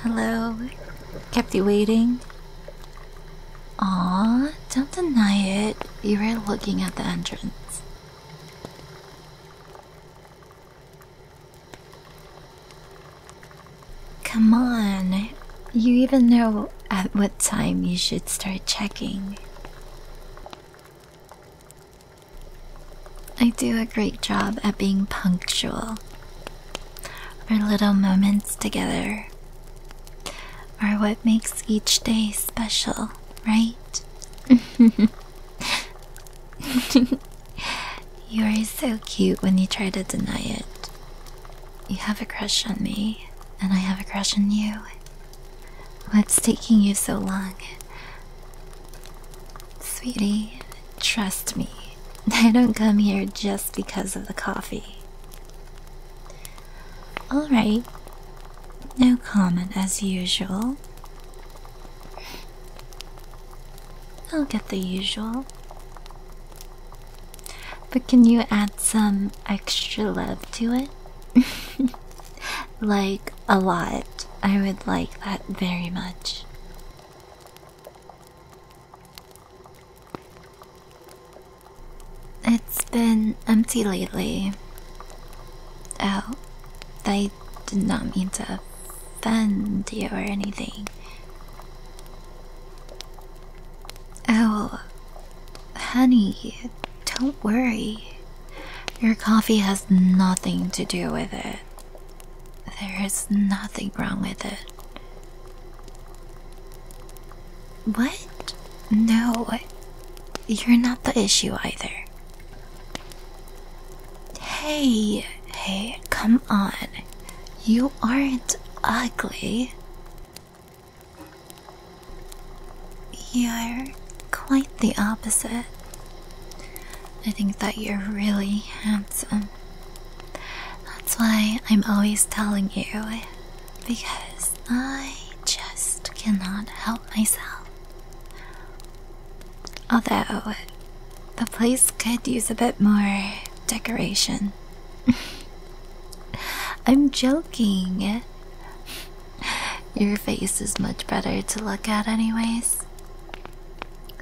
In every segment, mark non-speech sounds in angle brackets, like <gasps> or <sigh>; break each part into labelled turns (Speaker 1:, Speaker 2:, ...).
Speaker 1: Hello? Kept you waiting? Aw, don't deny it. You were looking at the entrance. Come on. You even know at what time you should start checking. I do a great job at being punctual. Our little moments together are what makes each day special, right? <laughs> you are so cute when you try to deny it. You have a crush on me, and I have a crush on you. What's taking you so long? Sweetie, trust me, <laughs> I don't come here just because of the coffee. Alright, no comment as usual. I'll get the usual. But can you add some extra love to it? <laughs> like a lot. I would like that very much. It's been empty lately. Oh, I did not mean to offend you or anything. Oh, honey, don't worry. Your coffee has nothing to do with it. There is nothing wrong with it. What? No, you're not the issue either. Hey, hey, come on. You aren't ugly. You're quite the opposite. I think that you're really handsome. That's why I'm always telling you, because I just cannot help myself. Although, the place could use a bit more decoration. <laughs> I'm joking. Your face is much better to look at, anyways.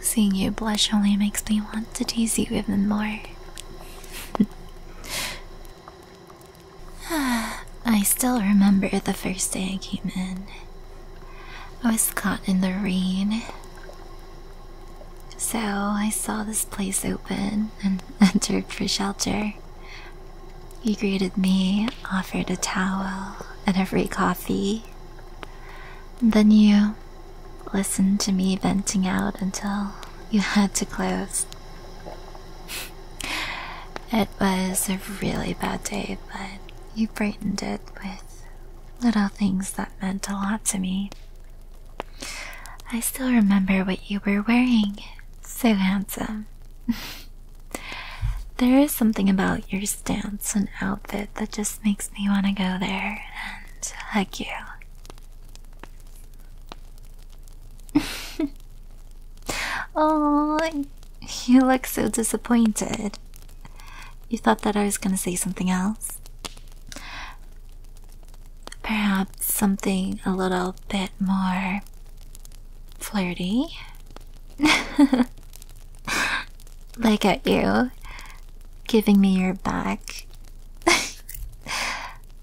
Speaker 1: Seeing you blush only makes me want to tease you even more. <sighs> I still remember the first day I came in. I was caught in the rain. So I saw this place open and <laughs> entered for shelter. He greeted me, offered a towel, and a free coffee. Then you listened to me venting out until you had to close. <laughs> it was a really bad day, but you brightened it with little things that meant a lot to me. I still remember what you were wearing. So handsome. <laughs> There is something about your stance and outfit that just makes me want to go there and hug you. oh, <laughs> you look so disappointed. You thought that I was going to say something else? Perhaps something a little bit more flirty? <laughs> Look at you, giving me your back. <laughs>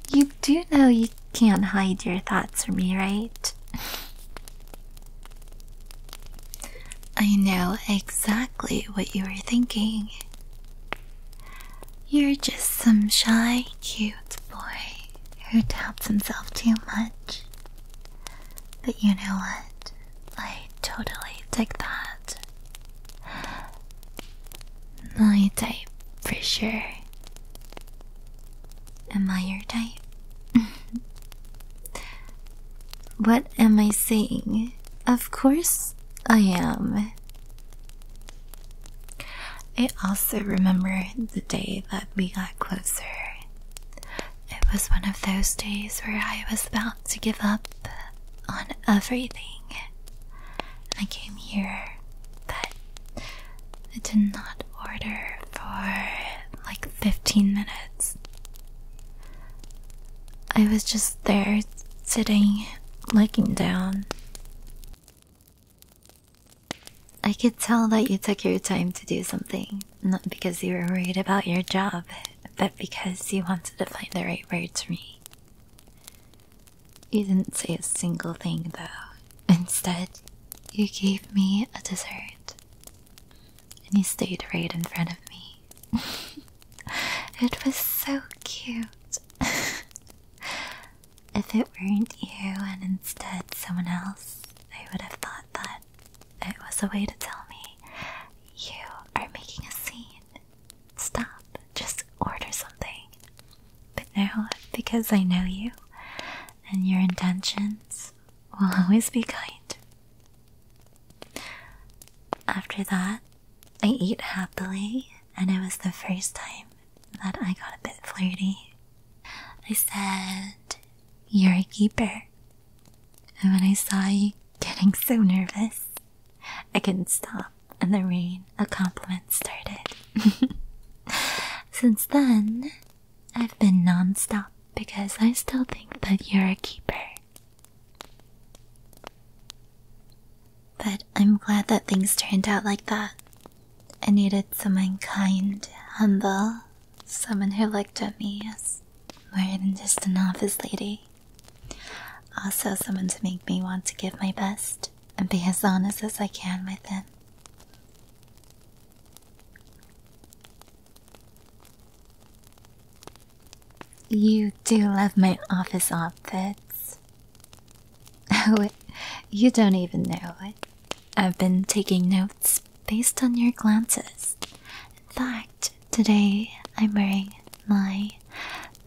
Speaker 1: you do know you can't hide your thoughts from me, right? I know exactly what you are thinking. You're just some shy, cute boy who doubts himself too much. But you know what? I totally dig that. My type, for sure. Am I your type? <laughs> what am I saying? Of course I am. I also remember the day that we got closer. It was one of those days where I was about to give up on everything. I came here, but I did not order for like 15 minutes. I was just there, sitting, looking down. I could tell that you took your time to do something not because you were worried about your job, but because you wanted to find the right words for me. You didn't say a single thing, though. Instead, you gave me a dessert. And you stayed right in front of me. <laughs> it was so cute. <laughs> if it weren't you and instead someone else, I would have thought that it was a way to tell me, you are making a scene. Stop, just order something. But now, because I know you, and your intentions will always be kind. After that, I ate happily, and it was the first time that I got a bit flirty. I said, you're a keeper. And when I saw you getting so nervous, I couldn't stop, and the rain of compliments started. <laughs> Since then, I've been non stop because I still think that you're a keeper. But I'm glad that things turned out like that. I needed someone kind, humble, Someone who looked at me as more than just an office lady. Also, someone to make me want to give my best and be as honest as I can with them. You do love my office outfits. Oh, <laughs> you don't even know it. I've been taking notes based on your glances. In fact, today I'm wearing my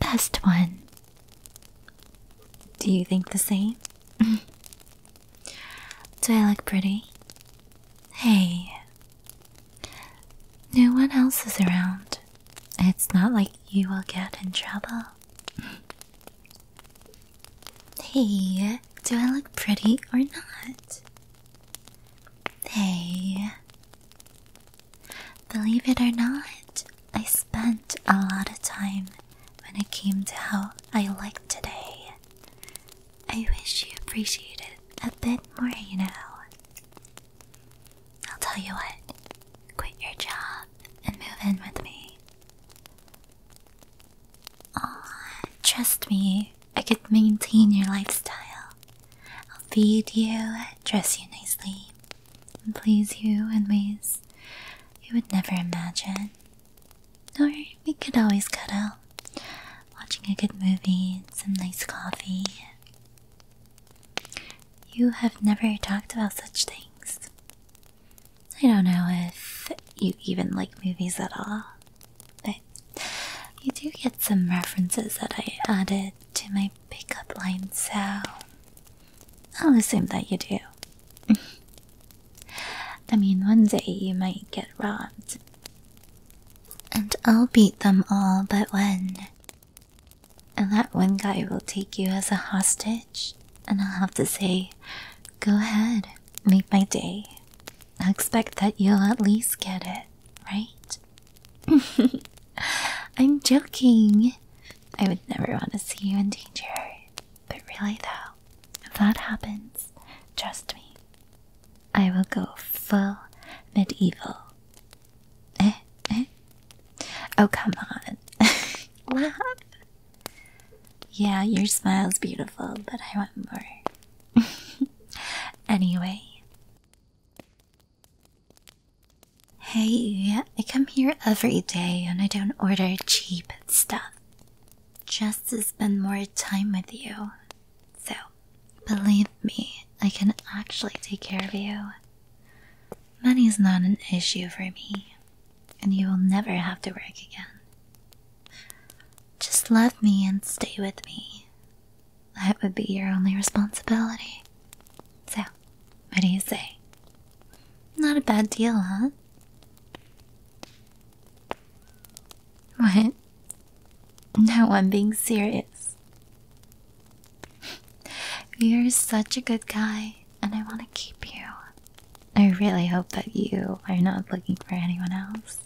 Speaker 1: best one. Do you think the same? <laughs> Do I look pretty? Hey, no one else is around. It's not like you will get in trouble. <laughs> Hey, do I look pretty or not? Hey. Believe it or not, I spent a lot of time when it came to how I look today. I wish you appreciated a bit more, you know. I'll tell you what, quit your job and move in with me. Oh, trust me, I could maintain your lifestyle. I'll feed you, dress you nicely, and please you in ways you would never imagine. Or we could always cuddle, watching a good movie some nice coffee. You have never talked about such things. I don't know if you even like movies at all. But you do get some references that I added to my pickup line, so I'll assume that you do. <laughs> I mean, one day you might get robbed. And I'll beat them all but one. And that one guy will take you as a hostage, and I'll have to say, Go ahead, make my day. I expect that you'll at least get it, right? <laughs> I'm joking. I would never want to see you in danger. But really, though, if that happens, trust me, I will go full medieval. Eh, eh? Oh, come on. Laugh. Yeah, your smile's beautiful, but I want more. <laughs> anyway. Hey, I come here every day and I don't order cheap stuff. Just to spend more time with you. So, believe me, I can actually take care of you. Money is not an issue for me, and you will never have to work again. Just love me and stay with me. That would be your only responsibility. So, what do you say? Not a bad deal, huh? What? No, I'm being serious. You're such a good guy, and I want to keep you. I really hope that you are not looking for anyone else.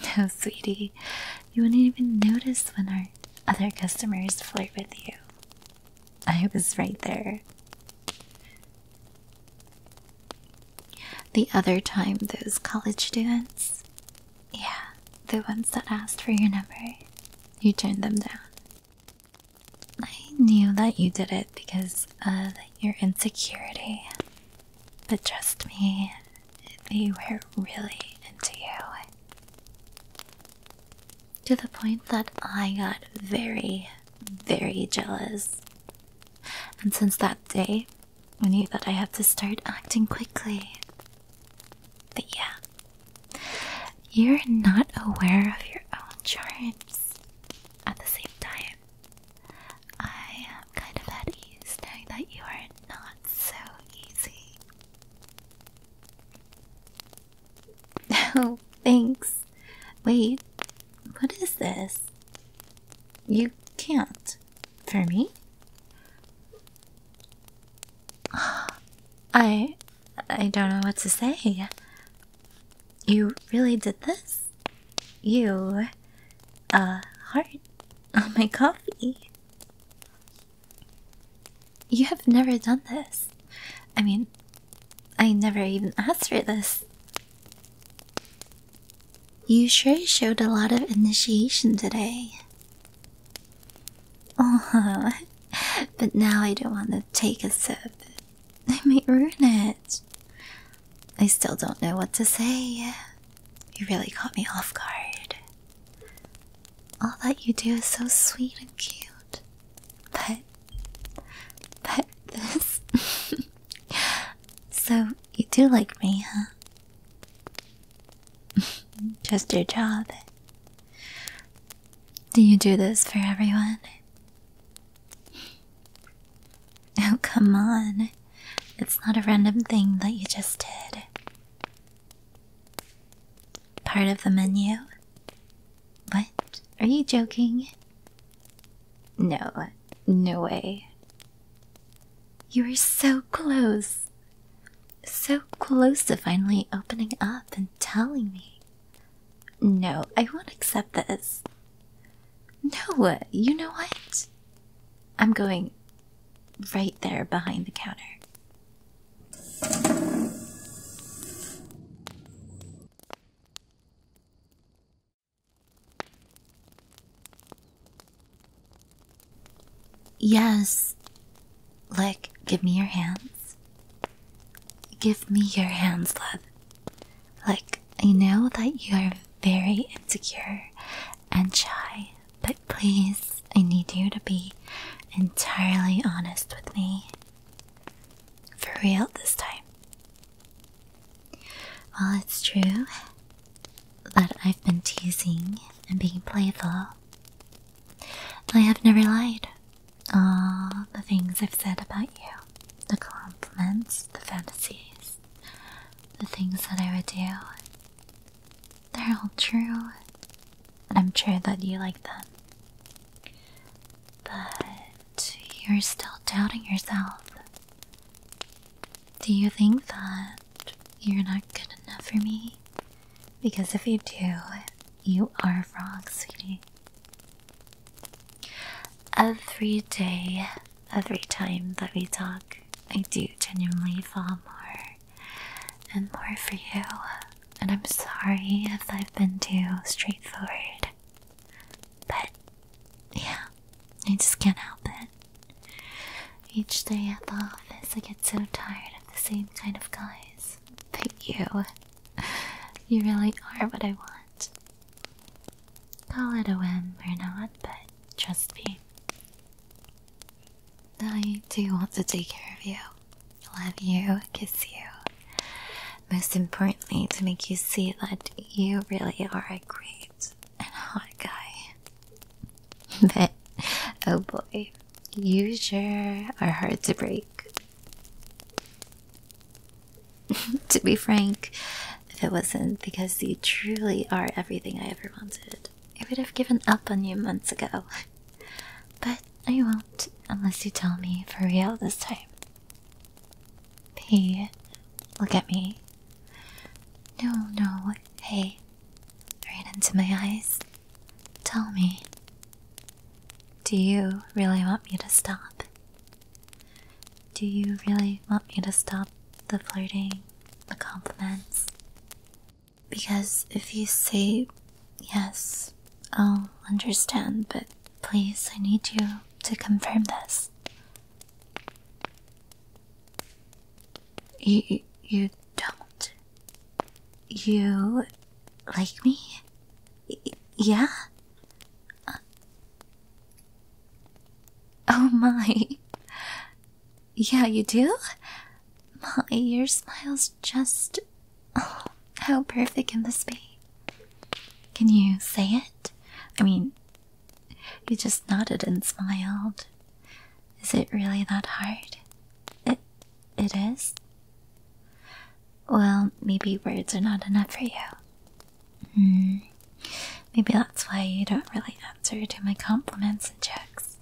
Speaker 1: <laughs> Oh, sweetie, you wouldn't even notice when our other customers flirt with you. I was right there. The other time, those college students, yeah, the ones that asked for your number, you turned them down. I knew that you did it because of your insecurity. But trust me, they were really into you. To the point that I got very, very jealous. And since that day, I knew that I had to start acting quickly. But yeah, you're not aware of your own charms at the same time. I am kind of at ease knowing that you are not so easy. No, <laughs> oh, thanks. Wait, what is this? You can't. For me? <gasps> I. I don't know what to say. You really did this? You a heart on <laughs> my coffee. You have never done this. I mean, I never even asked for this. You sure showed a lot of initiation today. Oh, <laughs> but now I don't want to take a sip. I <laughs> might ruin it. I still don't know what to say. You really caught me off guard. All that you do is so sweet and cute. But. But this. <laughs> so, you do like me, huh? <laughs> Just your job. Do you do this for everyone? <laughs> Oh, come on. It's not a random thing that you just did. Part of the menu? What? Are you joking? No, no way. You were so close. So close to finally opening up and telling me. No, I won't accept this. No, uh, you know what? I'm going right there behind the counter. Yes. Like, give me your hands. Give me your hands, love. Like I know that you are very insecure and shy, but please, I need you to be entirely honest with me. For real this time. Well, it's true that I've been teasing and being playful. I have never lied. All the things I've said about you the compliments, the fantasies the things that I would do, they're all true, and I'm sure that you like them. But you're still doubting yourself. Do you think that you're not good enough for me? Because if you do, you are wrong, sweetie. Every day every time that we talk, I do genuinely fall more and more for you. And I'm sorry if I've been too straightforward. But yeah, I just can't help it. Each day at the office, I get so tired of the same kind of guys. But you, you really are what I want. Call it a whim or not, but trust me. I do want to take care of you, love you, kiss you. Most importantly, to make you see that you really are a great and hot guy. <laughs> But, oh boy, you sure are hard to break. <laughs> to be frank, if it wasn't because you truly are everything I ever wanted, I would have given up on you months ago. But I won't unless you tell me for real this time. Hey, look at me. No, no, hey. Right into my eyes. Tell me. Do you really want me to stop? Do you really want me to stop the flirting, the compliments? Because if you say yes, I'll understand, but please, I need you to confirm this. You, you don't. You like me? yeah? Oh my. Yeah, you do? My, your smile's just. Oh, how perfect can this be? Can you say it? I mean, you just nodded and smiled. Is it really that hard? It. it is? Well, maybe words are not enough for you. Hmm. Maybe that's why you don't really answer to my compliments and checks.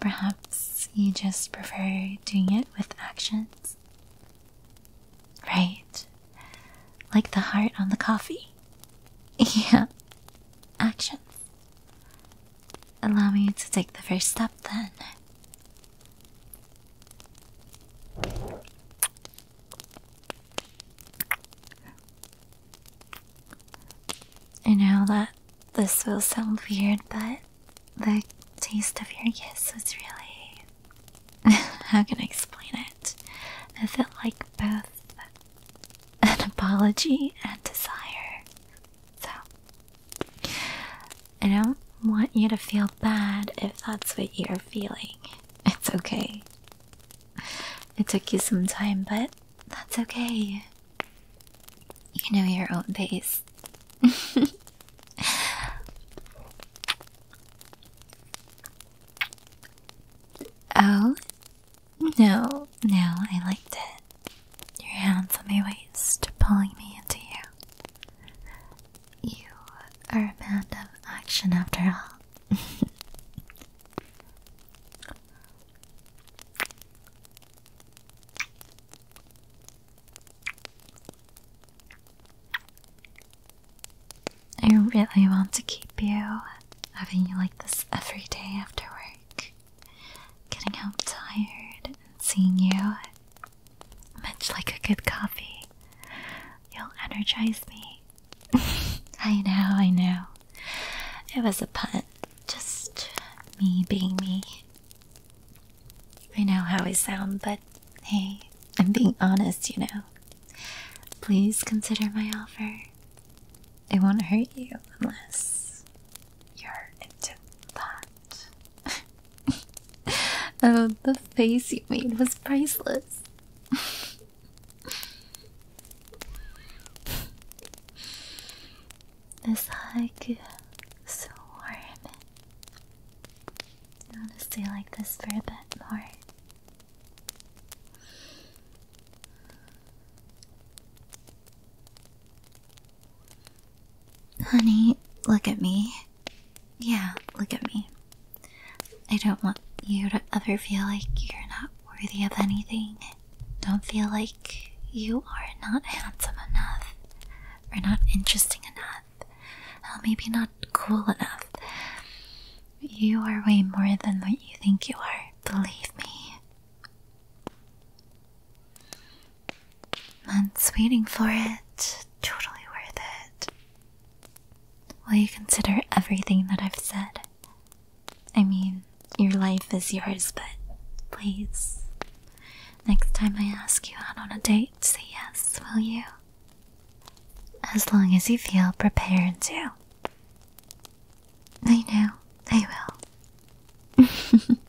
Speaker 1: Perhaps you just prefer doing it with actions. Right. Like the heart on the coffee. <laughs> Yeah. Actions. Allow me to take the first step then. I know that this will sound weird, but the taste of your kiss was really. <laughs> How can I explain it? It felt like both an apology and desire. So, I don't want you to feel bad if that's what you're feeling. It's okay. It took you some time, but that's okay. You know your own pace. <laughs> oh? No, no, I liked it. Your hands on my waist, pulling me into you. You are a man of action after all. <laughs> I really want to keep you, having you like this every day after work. Getting home tired and seeing you. Much like a good coffee, you'll energize me <laughs> I know, I know. It was a pun. Just me being me. I know how I sound, but hey, I'm being honest, you know. Please consider my offer. It won't hurt you unless you're into that. <laughs> oh, the face you made was priceless. <laughs> This hug so warm. want to stay like this for a bit more. Honey, look at me. Yeah, look at me. I don't want you to ever feel like you're not worthy of anything. Don't feel like you are not handsome enough, or not interesting enough, or maybe not cool enough. You are way more than what you think you are, believe me. Months waiting for it, totally worth it. Will you consider everything that I've said? I mean, your life is yours, but please, next time I ask you out on a date, say yes, will you? As long as you feel prepared to. I know, I will. <laughs>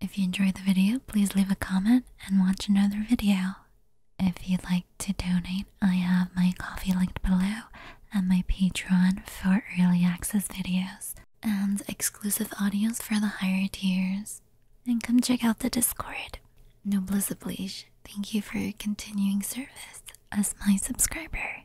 Speaker 1: If you enjoyed the video, please leave a comment and watch another video. If you'd like to donate, I have my coffee linked below and my Patreon for early access videos and exclusive audios for the higher tiers. And come check out the Discord. Noblesse oblige. Thank you for your continuing service as my subscriber.